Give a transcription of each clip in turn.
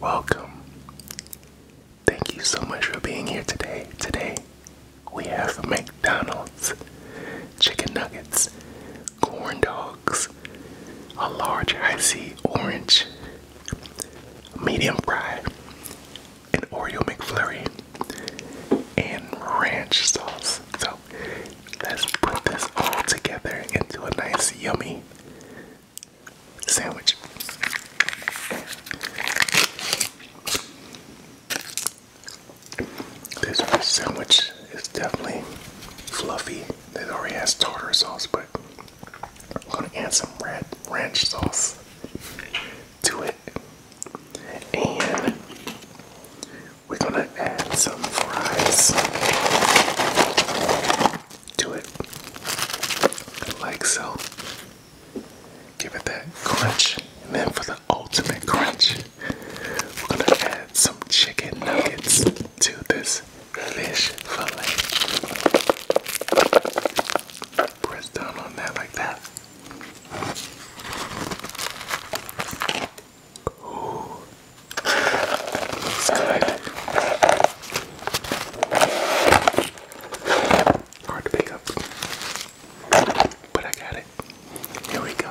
Welcome. Thank you so much for being here today. Today we have McDonald's, chicken nuggets, corn dogs, a large icy orange, medium fry, an Oreo McFlurry, and ranch sauce. So let's put this all together into a nice, yummy sandwich. This sandwich is definitely fluffy. It already has tartar sauce, but I'm gonna add some red ranch sauce to it. And we're gonna add some fries to it, like so. Give it that crunch, and then for the ultimate crunch, we're gonna add some chicken nuggets to this fish fillet. Press down on that like that. Ooh. Looks good. Hard to pick up. But I got it. Here we go.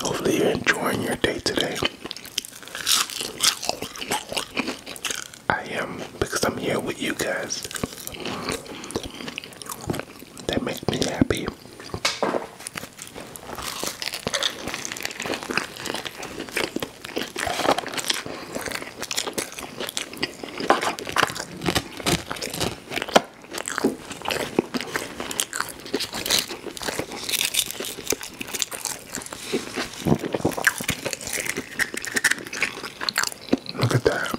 Hopefully, you're enjoying your day today. I am because I'm here with you guys. That makes me happy. Look at that.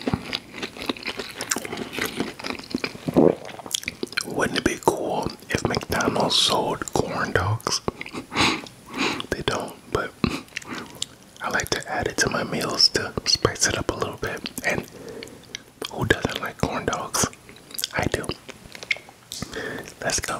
Wouldn't it be cool if McDonald's sold corn dogs? they don't, but I like to add it to my meals to spice it up a little bit. And who doesn't like corn dogs? I do. Let's go.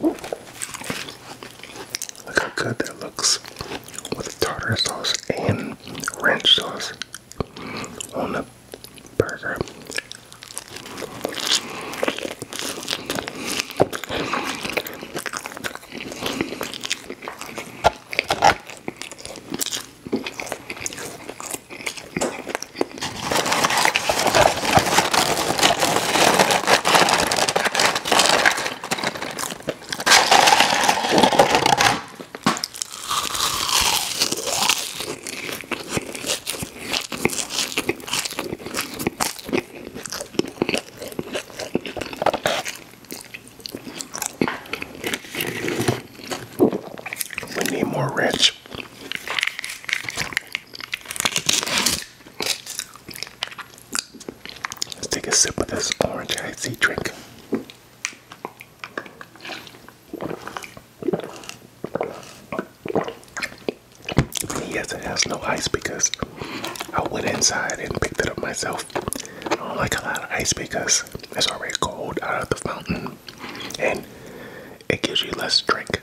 Look how good that looks with tartar sauce and ranch sauce on the burger. We need more ranch. Let's take a sip of this orange icy drink. Yes, it has no ice because I went inside and picked it up myself. I don't like a lot of ice because it's already cold out of the fountain and it gives you less drink.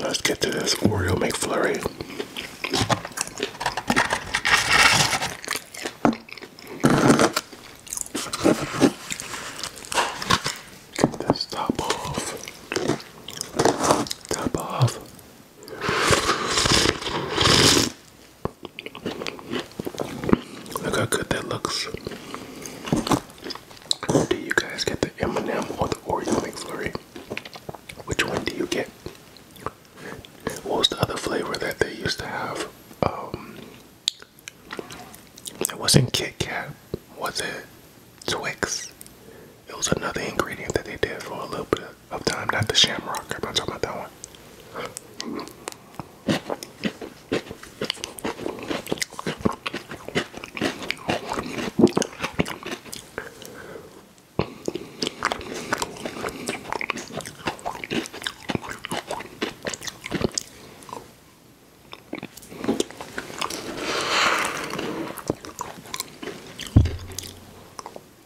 let's get to this Oreo McFlurry. Get this top off. Top off. Look how good that looks. Do you guys get the M&M or the Oreo McFlurry? Which one do you get? What was the other flavor that they used to have? Um, it wasn't Kit Kat, was it? Twix. It was another ingredient that they did for a little bit of time, not the Shamrock I'm not talking about that one.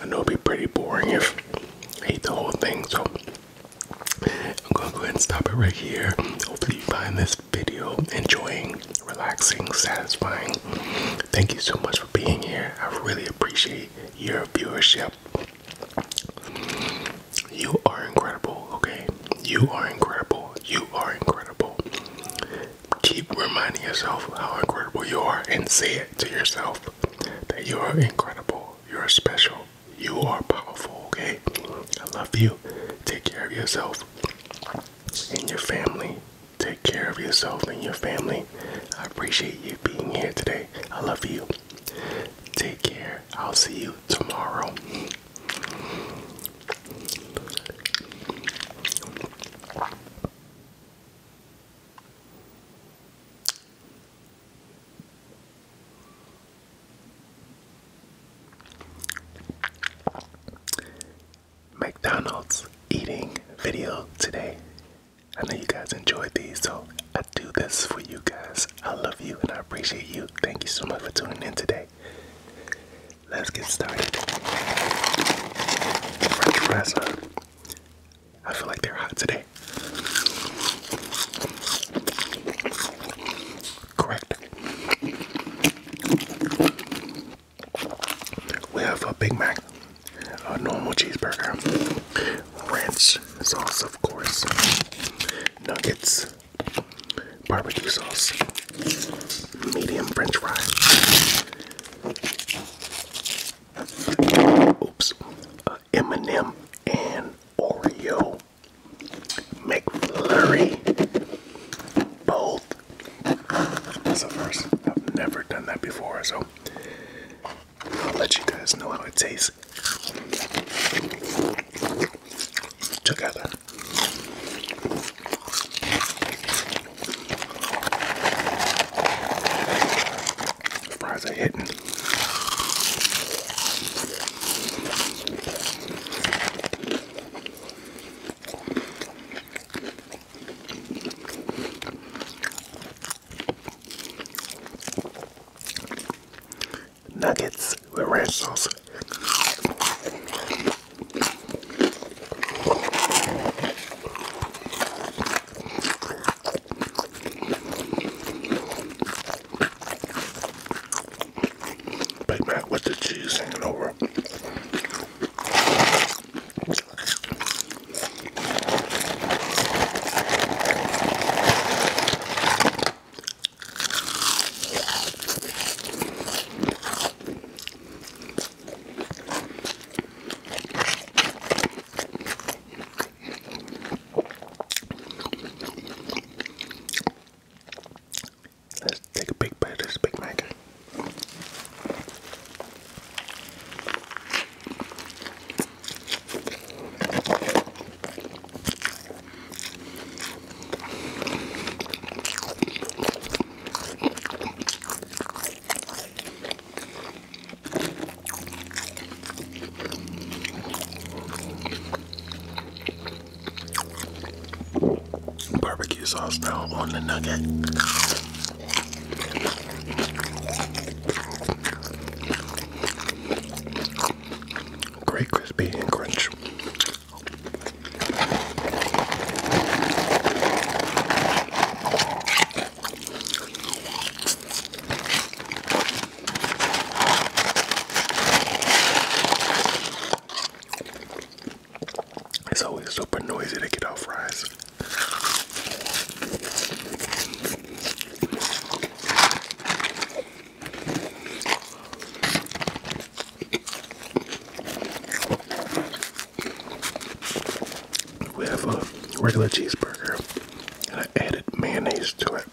I know it'd be pretty boring if I ate the whole thing, so I'm gonna go ahead and stop it right here. Hopefully, you find this video enjoying, relaxing, satisfying. Thank you so much for being here. I really appreciate your viewership. You are incredible, okay? You are incredible. You are incredible keep reminding yourself how incredible you are and say it to yourself that you are incredible, you're special, you are powerful, okay? I love you. Take care of yourself and your family. Take care of yourself and your family. I appreciate you being here today. I love you. Take care. I'll see you tomorrow. McDonald's eating video today. I know you guys enjoyed these, so I do this for you guys. I love you and I appreciate you. Thank you so much for tuning in today. Let's get started. French I feel like they're hot today. Correct. We have a Big Mac, a normal cheeseburger, ranch sauce, of course, nuggets, barbecue sauce, medium french fries. Oops. Uh, M&M and Oreo McFlurry. Both. That's a first. I've never done that before, so I'll let you guys know how it tastes together. Fries are hitting. Nuggets with ranch sauce. Big Mac with the cheese hanging over. Let's take a big bite of this Big Mac. Barbecue sauce now on the nugget. Great crispy and crunch. It's always super noisy to get off fries. We have a regular cheeseburger and I added mayonnaise to it.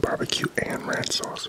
Barbecue and ranch sauce.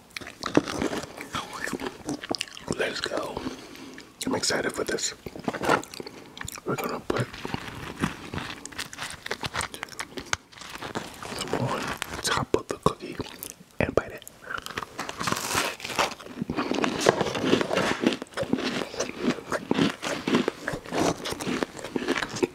Let's go. I'm excited for this. We're gonna put on top of the cookie and bite it. I'm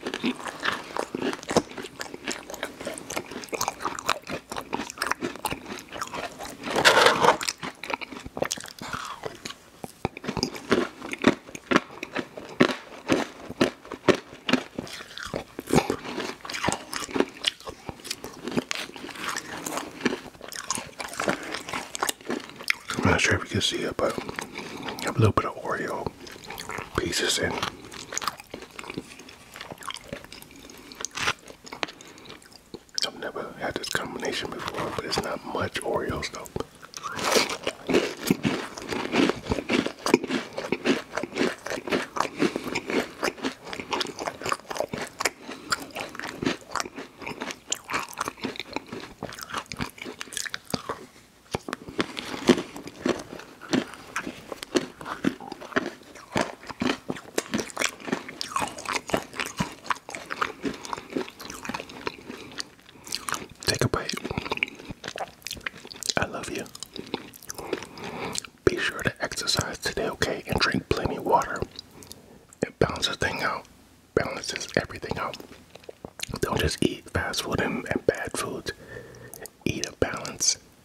not sure if you can see it, but I have a little bit of Oreo pieces in. I've never had this combination before, but it's not much Oreos though. Take a bite. I love you. Be sure to exercise today, okay? And drink plenty of water. It balances thing out. Balances everything out. Don't just eat fast food and bad foods. Eat a balance.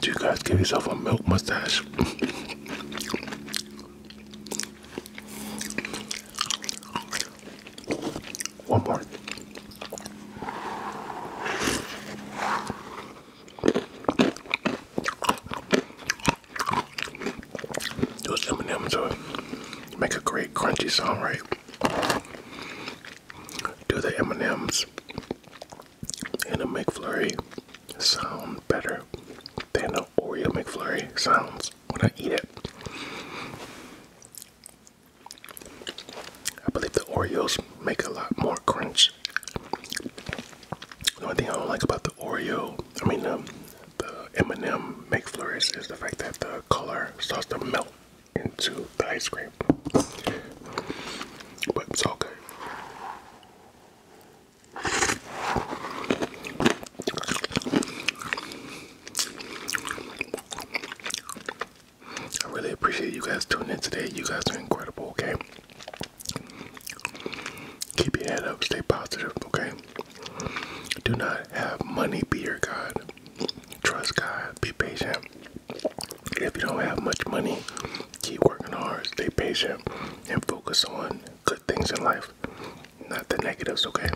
Do you guys give yourself a milk mustache? One more those M&Ms will make a great crunchy sound, right? Do the M&Ms in a McFlurry sound better than the Oreo McFlurry sounds when I eat it. I believe the Oreos make a lot more crunch. The only thing I don't like about the Oreo, I mean um, the M&M McFlurries is the fact that the color starts to melt into the ice cream. But it's all I really appreciate you guys tuning in today. You guys are incredible, okay? Keep your head up, stay positive, okay? Do not have money be your God. Trust God. Be patient. If you don't have much money, keep working hard, stay patient, and focus on good things in life, not the negatives, okay?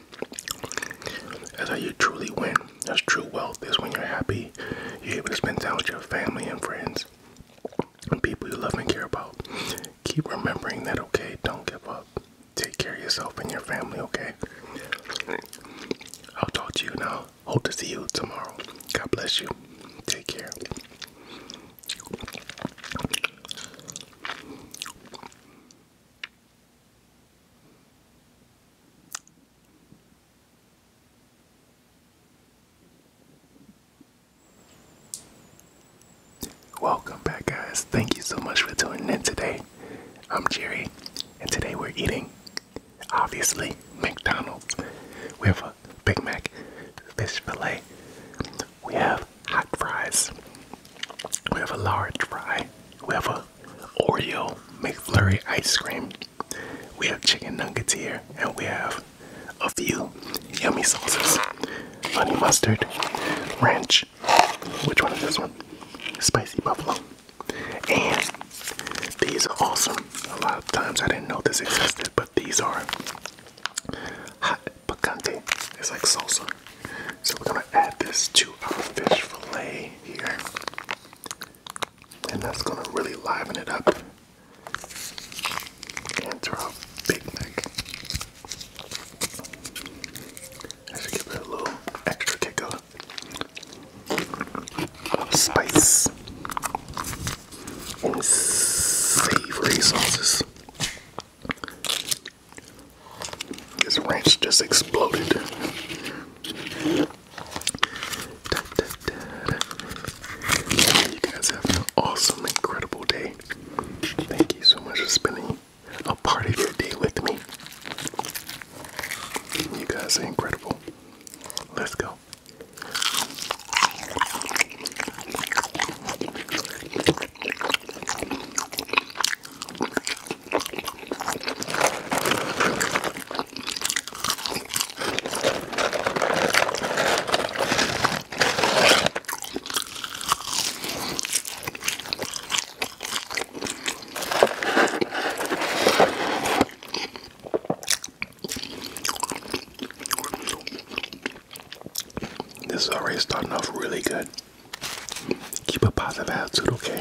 That's how you truly win. as true wealth is when you're happy, you're able to spend time with your family and friends and people you love and care about. Keep remembering that, okay? Don't give up. Take care of yourself and your family, okay? I'll talk to you now. Hope to see you tomorrow. God bless you. Take care. Welcome back, guys. Thank you so much for tuning in today. I'm Jerry, and today we're eating, obviously, McDonald's. We have a Big Mac, fish fillet. We have hot fries. We have a large fry. We have a Oreo McFlurry ice cream. We have chicken nuggets here, and we have a few yummy sauces honey mustard, ranch, which one is this one? Spicy buffalo. And these are awesome. A lot of times I didn't know this existed, but these are hot picante. It's like salsa. So we're gonna add this to our fish fillet here. And that's gonna really liven it up. And to Big Mac. I should give it a little extra kick of spice and savory sauces. This ranch just exploded. You guys have an awesome, incredible day. Thank you so much for spending a part of your day with me. You guys are incredible. Let's go. This is already starting off really good. Keep a positive attitude, okay?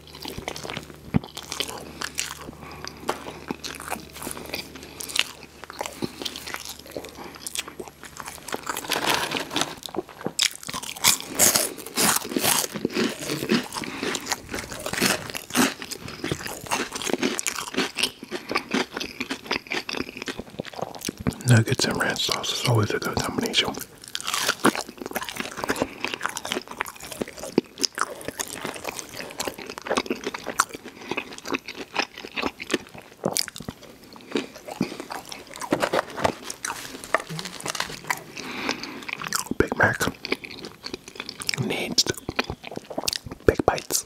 Nuggets and ranch sauce is always a good combination. Big Mac needs big bites.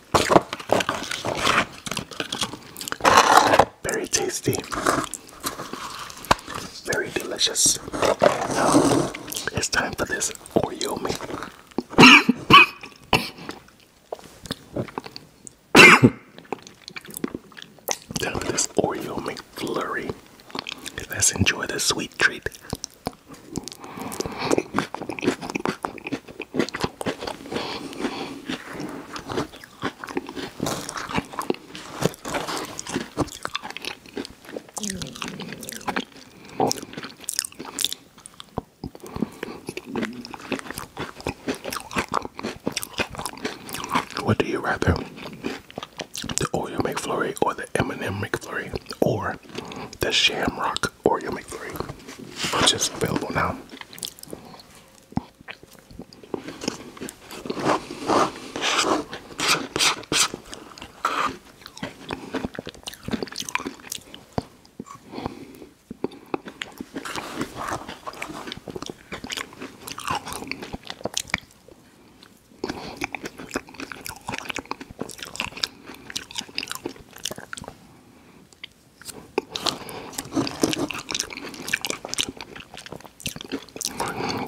Very tasty, very delicious. it's time for this Oreo meat. time for this Oreo McFlurry. Let's enjoy this sweet treat. What do you rather? The Oreo McFlurry or the M&M McFlurry or the Shamrock Oreo McFlurry, which is available now.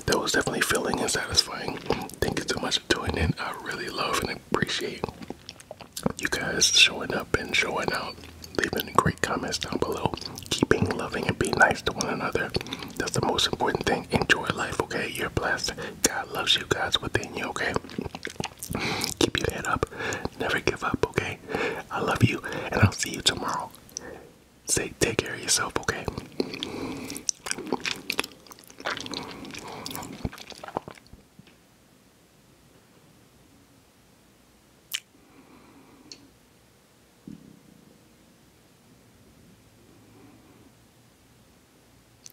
That was definitely filling and satisfying. Thank you so much for tuning in. I really love and appreciate you guys showing up and showing out. Leaving great comments down below. Keeping loving and being nice to one another. That's the most important thing. Enjoy life, okay? You're blessed. God loves you guys within you, okay? Keep your head up. Never give up, okay? I love you, and I'll see you tomorrow. Say, take care of yourself, okay?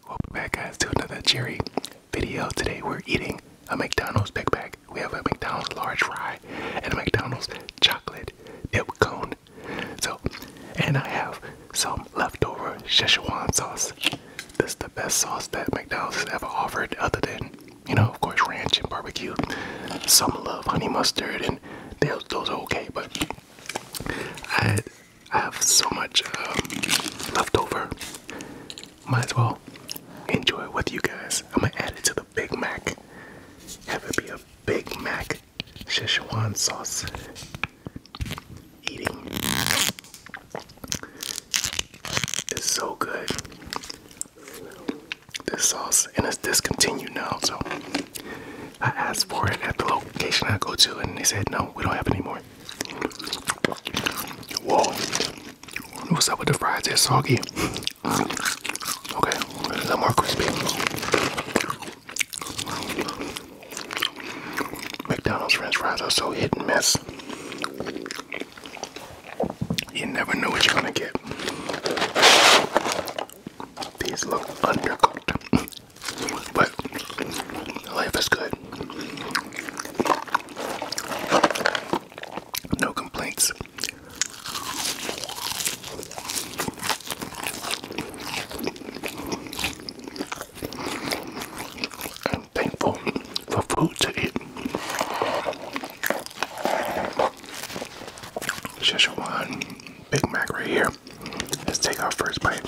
Welcome back guys to another Jerry video. Today we're eating a McDonald's big bag. We have a McDonald's large fry and a McDonald's chocolate dip cone. So, and I have some leftover Szechuan sauce. This is the best sauce that McDonald's ever offered other than, you know, of course ranch and barbecue. Some love honey mustard and those, those are okay, but I, I have so much um, leftover might as well enjoy it with you guys. I'm gonna add it to the Big Mac. Have it be a Big Mac Szechuan sauce eating. It's so good. This sauce and it's discontinued now, so I asked for it at the location I go to and they said no, we don't have any more. Whoa. What's up with the fries, they're soggy. Okay, a little more crispy. McDonald's french fries are so hit and miss. You never know what you're gonna get. These look undercooked, but life is good. No complaints. I'm thankful for food to eat. Szechuan Big Mac right here. Let's take our first bite.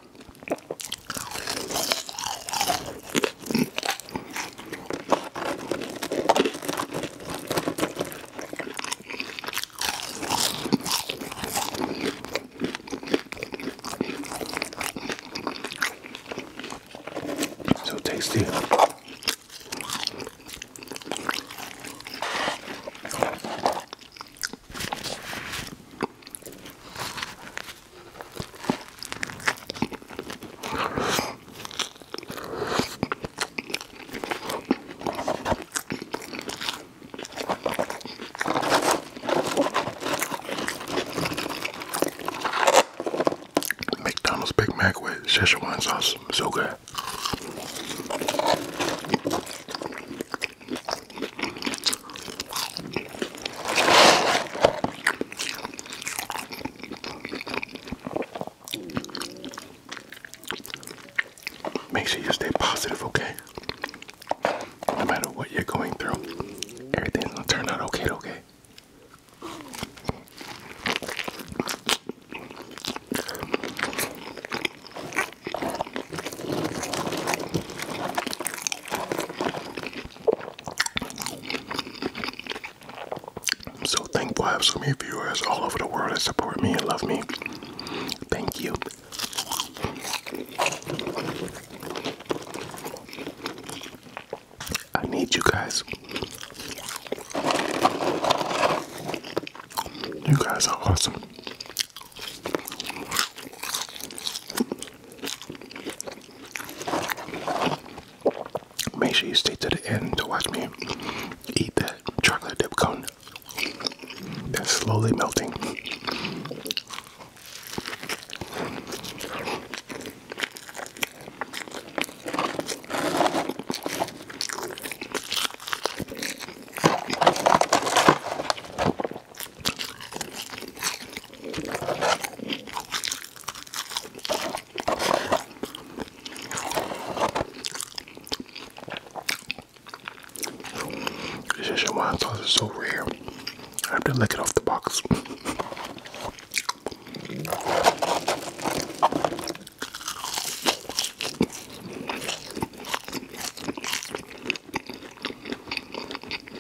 So tasty. McDonald's Big Mac with Szechuan sauce, so good. Make sure you stay positive, okay? No matter what you're going through, everything's gonna turn out okay, okay? I'm so thankful I have so many viewers all over the world that support me and love me. Thank you. I need you guys. You guys are awesome. Make sure you stay to the end to watch me eat that chocolate dip cone that's slowly melting. Szechuan sauce is so rare. I have to lick it off the box.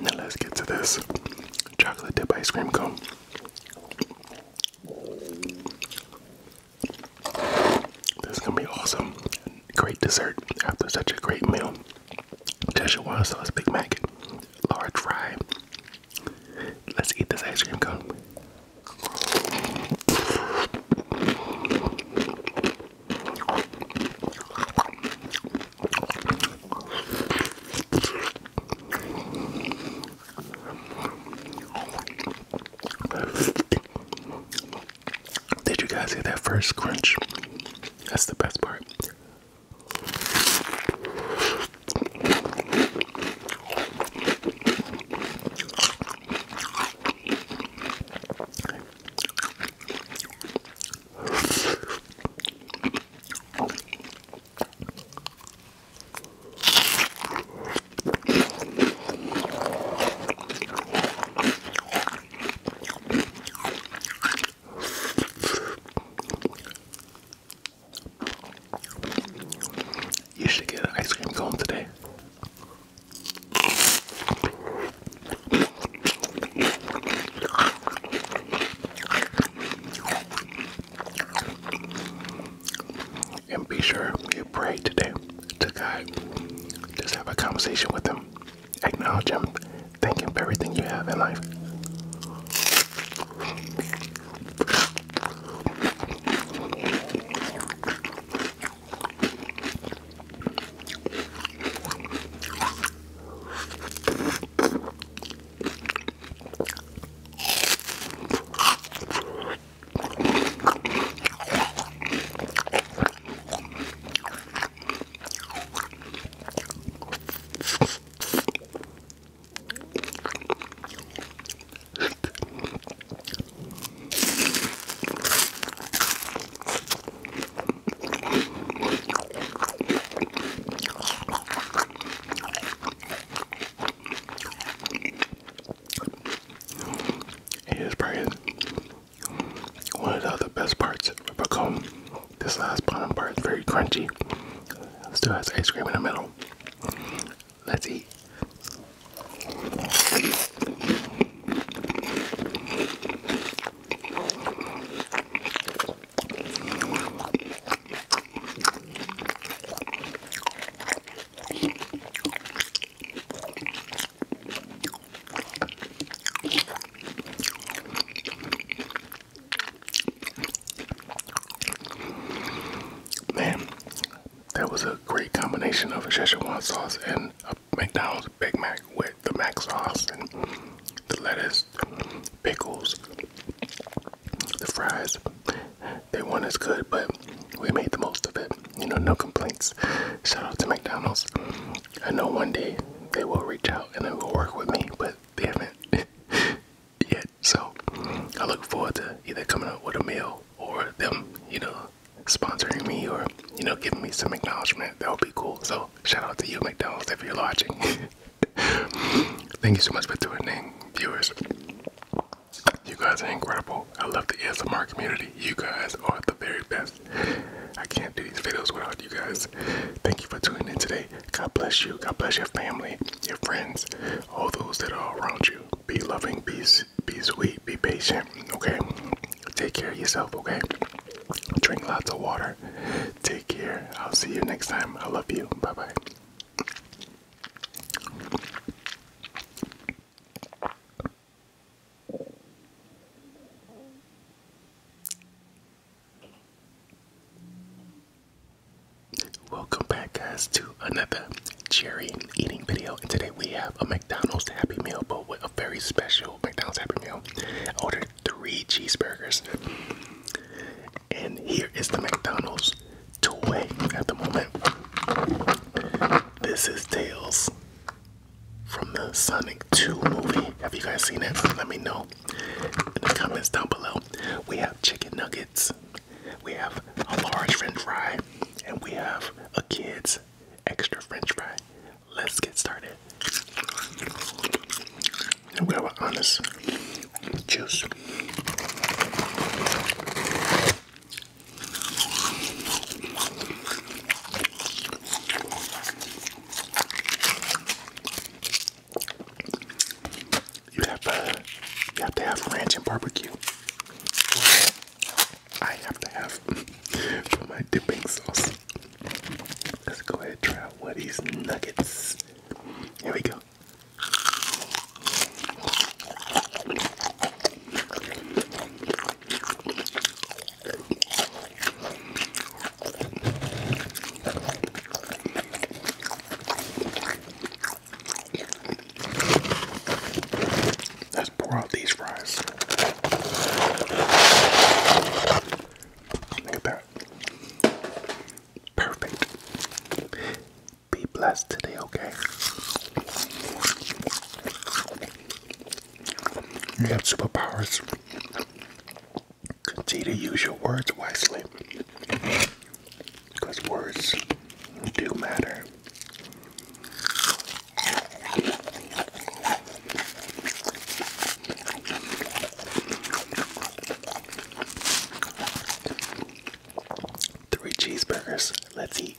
Now let's get to this chocolate dip ice cream cone. This is gonna be awesome. Great dessert after such a great meal. Tasha Szechuan sauce Big Mac, large fry. Let's eat this ice cream cone. Did you guys hear that first crunch? That's the best part. You should get an ice cream cone today. And be sure you pray today to God. Just have a conversation with Him acknowledge him, thank him for everything you have in life. He is brilliant. One of the best parts of a cone. This last bottom part is very crunchy. Still has ice cream in the middle. Let's eat. Man, that was a great combination of a Szechuan sauce and a McDonald's Big Mac with the Mac sauce and the lettuce, pickles, the fries. They weren't as good, but we made the most of it. You know, no complaints. Shout out to McDonald's. I know one day they will reach out and they will work with me, but they haven't yet. So I look forward to either coming up with a meal or them, you know, sponsoring me or, you know, giving me some acknowledgement. That would be cool. So shout out to you, McDonald's, if you're watching. Thank you so much for tuning in, viewers. You guys are incredible. I love the ASMR community. You guys are the very best. I can't do these videos without you guys. Thank you for tuning in today. God bless you. God bless your family, your friends, all those that are around you. Be loving, be, be sweet, be patient, okay? Take care of yourself, okay? Drink lots of water. Take care. I'll see you next time. I love you. Bye bye. Welcome back, guys, to another cherry eating video. And today we have a McDonald's Happy Meal, but with a very special McDonald's Happy Meal. I ordered three cheeseburgers, and here is the McDonald's toy at the moment. This is Tails from the Sonic 2 movie. Have you guys seen it? Let me know in the comments down below. We have chicken nuggets, we have a large french fry, and we have a kid's extra french fry. Let's get started. And we have an honest juice. You have uh, you have to have ranch and barbecue. I have to have for my dipping sauce. Let's go ahead and try out one of these nuggets. Here we go. Let's pour out these fries. Look at that. Perfect. Be blessed today, okay? You have superpowers. Consider use your words wisely, because words do matter. Three cheeseburgers. Let's eat.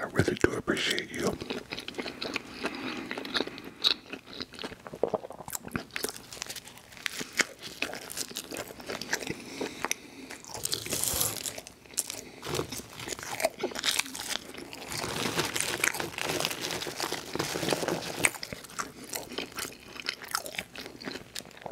I really do appreciate you.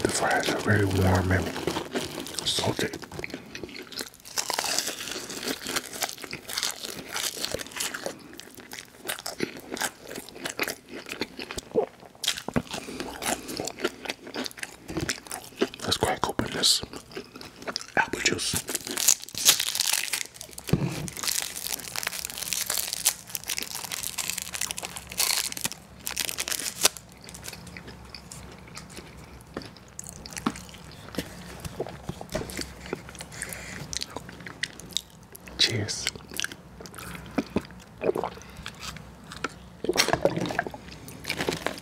The fries are very warm and salty. Let's crack open this apple juice. Cheers.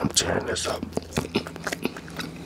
I'm tearing this up.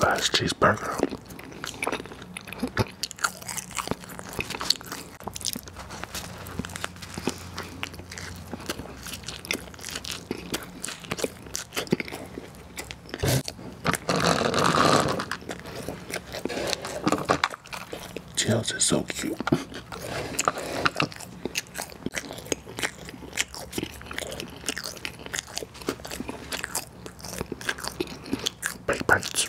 Last cheeseburger. Tails is so cute. Big bites.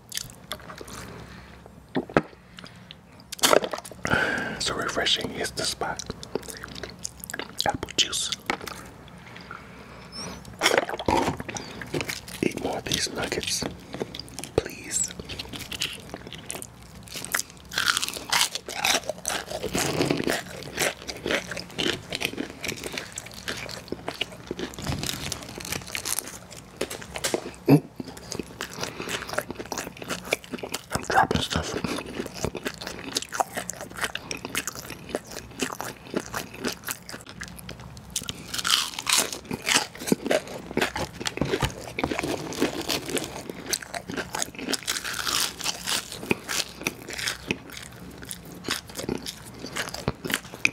So refreshing is the spot. Apple juice. Eat more of these nuggets, please. I'm dropping stuff.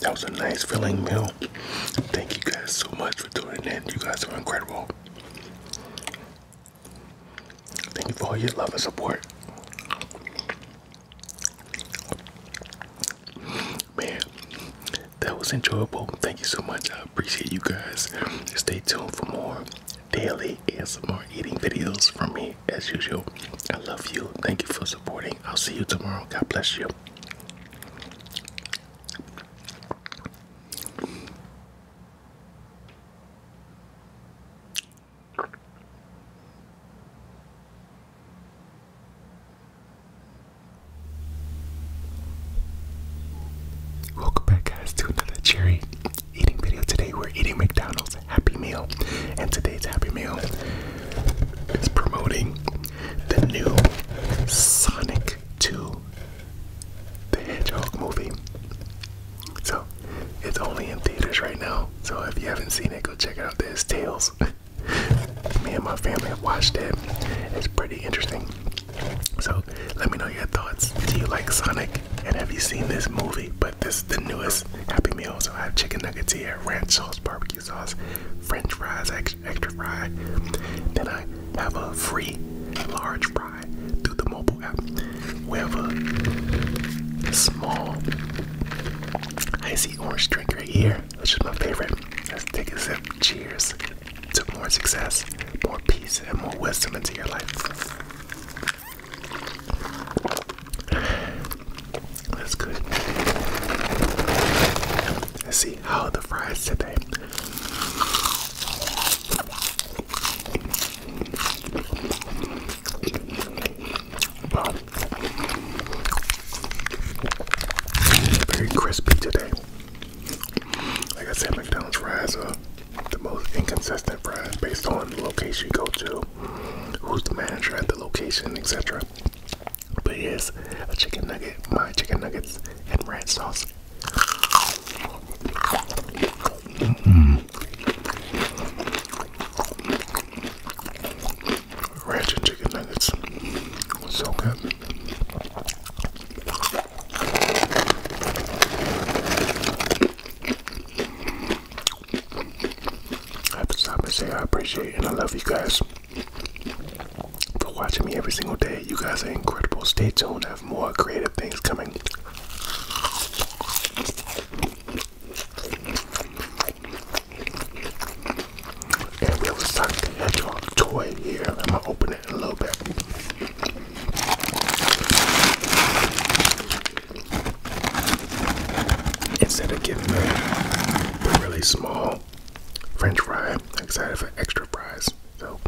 That was a nice filling meal. Thank you guys so much for tuning in. You guys are incredible. Thank you for all your love and support. Man, that was enjoyable. Thank you so much. I appreciate you guys. Stay tuned for more daily and some more eating videos from me as usual. I love you. Thank you for supporting. I'll see you tomorrow. God bless you. Welcome back, guys, to another cherry eating video. Today, we're eating McDonald's Happy Meal, and today's Happy Meal is promoting the new Sonic 2 the Hedgehog movie. So, it's only in theaters right now. So, if you haven't seen it, go check it out. There's Tails. Me and my family have watched it. It's pretty interesting. So let me know your thoughts. Do you like Sonic? And have you seen this movie? But this is the newest Happy Meal. So I have chicken nuggets here, ranch sauce, barbecue sauce, French fries, extra fry. Then I have a free large fry through the mobile app. We have a small icy orange drink right here, which is my favorite. Let's take a sip. Cheers to more success, more peace, and more wisdom into your life. That's good. Let's see how the fries today. Very crispy today. Like I said, McDonald's fries are the most inconsistent fries based on the location you go to, who's the manager at the location, etc. But yes, a chicken nugget, my chicken nuggets, and ranch sauce. Mm ranch chicken nuggets. So good. I have to stop and say I appreciate and I love you guys for watching me every single day. You guys are incredible. Stay tuned. I have more creative things coming. And we will suck the hedgehog toy here. I'm gonna open it a little bit. Instead of getting the really small French fry, I'm excited for extra fries. So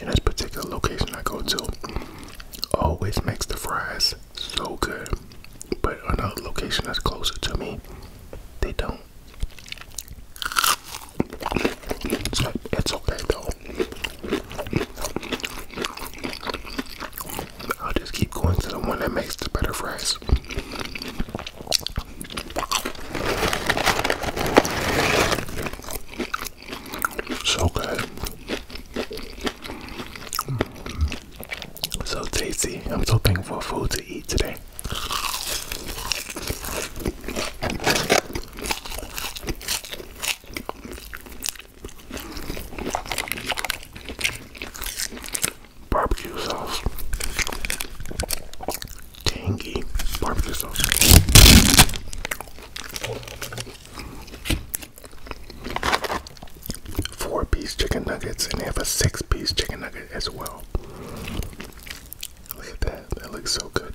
and this particular location I go to always makes the fries so good. But another location that's closer to me, they do not, it's okay though. I'll just keep going to the one that makes the better fries. So good. So tasty. I'm so thankful for food to eat today. Barbecue sauce tangy barbecue sauce. Four piece chicken nuggets, and they have a six piece chicken nugget as well. Look at that, that looks so good.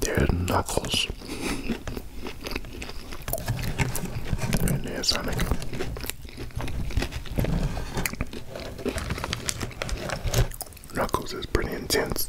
their knuckles Knuckles is pretty intense.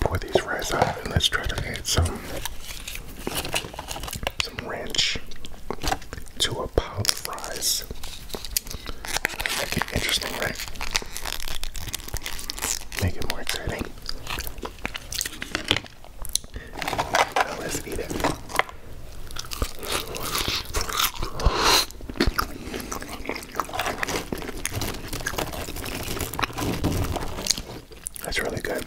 Pour these rice out and let's try to add some some ranch to a pile of fries. Make it interesting, right? Make it more exciting. Now let's eat it. That's really good.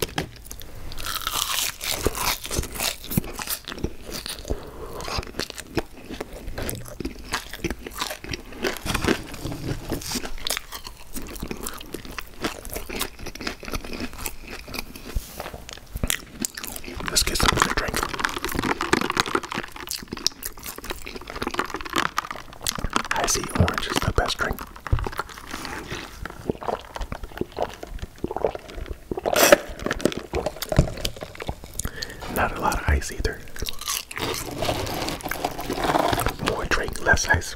Let's get something to drink. I see orange is the best drink. Not a lot of ice either. More drink, less ice.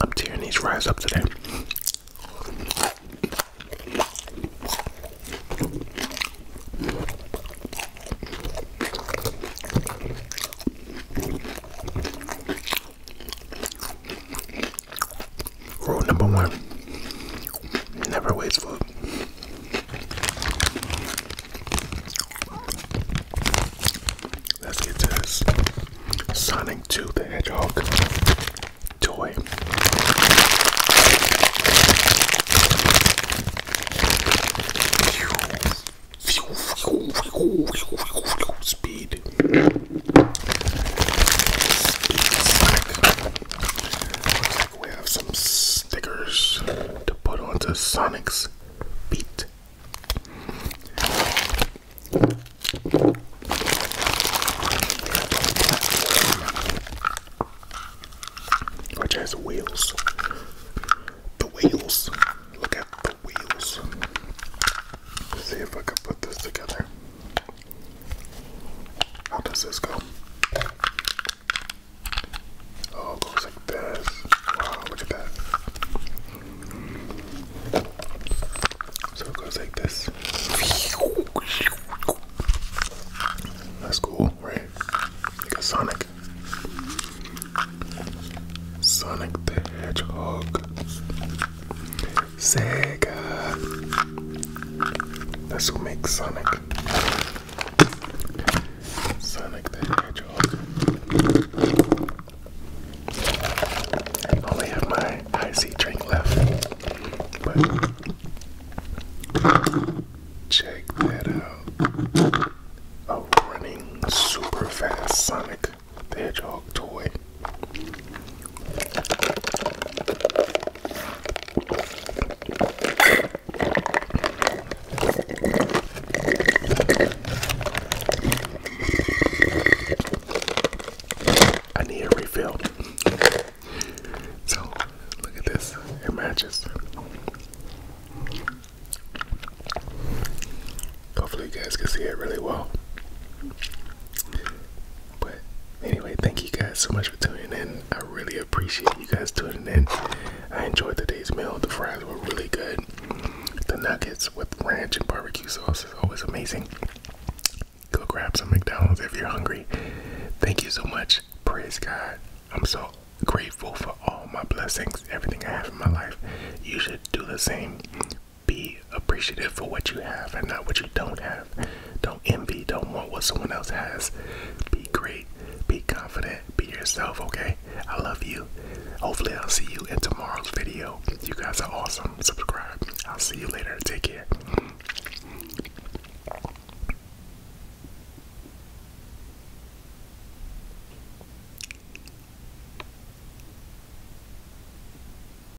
I'm tearing these rise up today. Rule number one never waste food. Let's get to this Sonic 2 the Hedgehog toy. Speed we have some stickers to put onto Sonic's feet. Which has wheels. The wheels. Look at the wheels. see if I can put this together. How does this go? Oh, it goes like this. Wow, look at that. So it goes like this. That's cool, right? Like a Sonic. Sonic the Hedgehog. Sega. That's who makes Sonic. Sonic the Hedgehog. only have my icy drink left, but check that out. A running super fast Sonic the Hedgehog toy. I need a refill. So, look at this. It matches. Hopefully, you guys can see it really well. But anyway, thank you guys so much for tuning in. I really appreciate you guys tuning in. I enjoyed the day's meal. The fries were really good. The nuggets with ranch and barbecue sauce is always amazing. Go grab some McDonald's if you're hungry. Thank you so much. Praise God. I'm so grateful for all my blessings, everything I have in my life. You should do the same be appreciative for what you have and not what you don't have. Don't envy, don't want what someone else has. Be great, be confident, be yourself, okay? I love you. Hopefully, I'll see you in tomorrow's video. You guys are awesome. Subscribe. I'll see you later. Take care.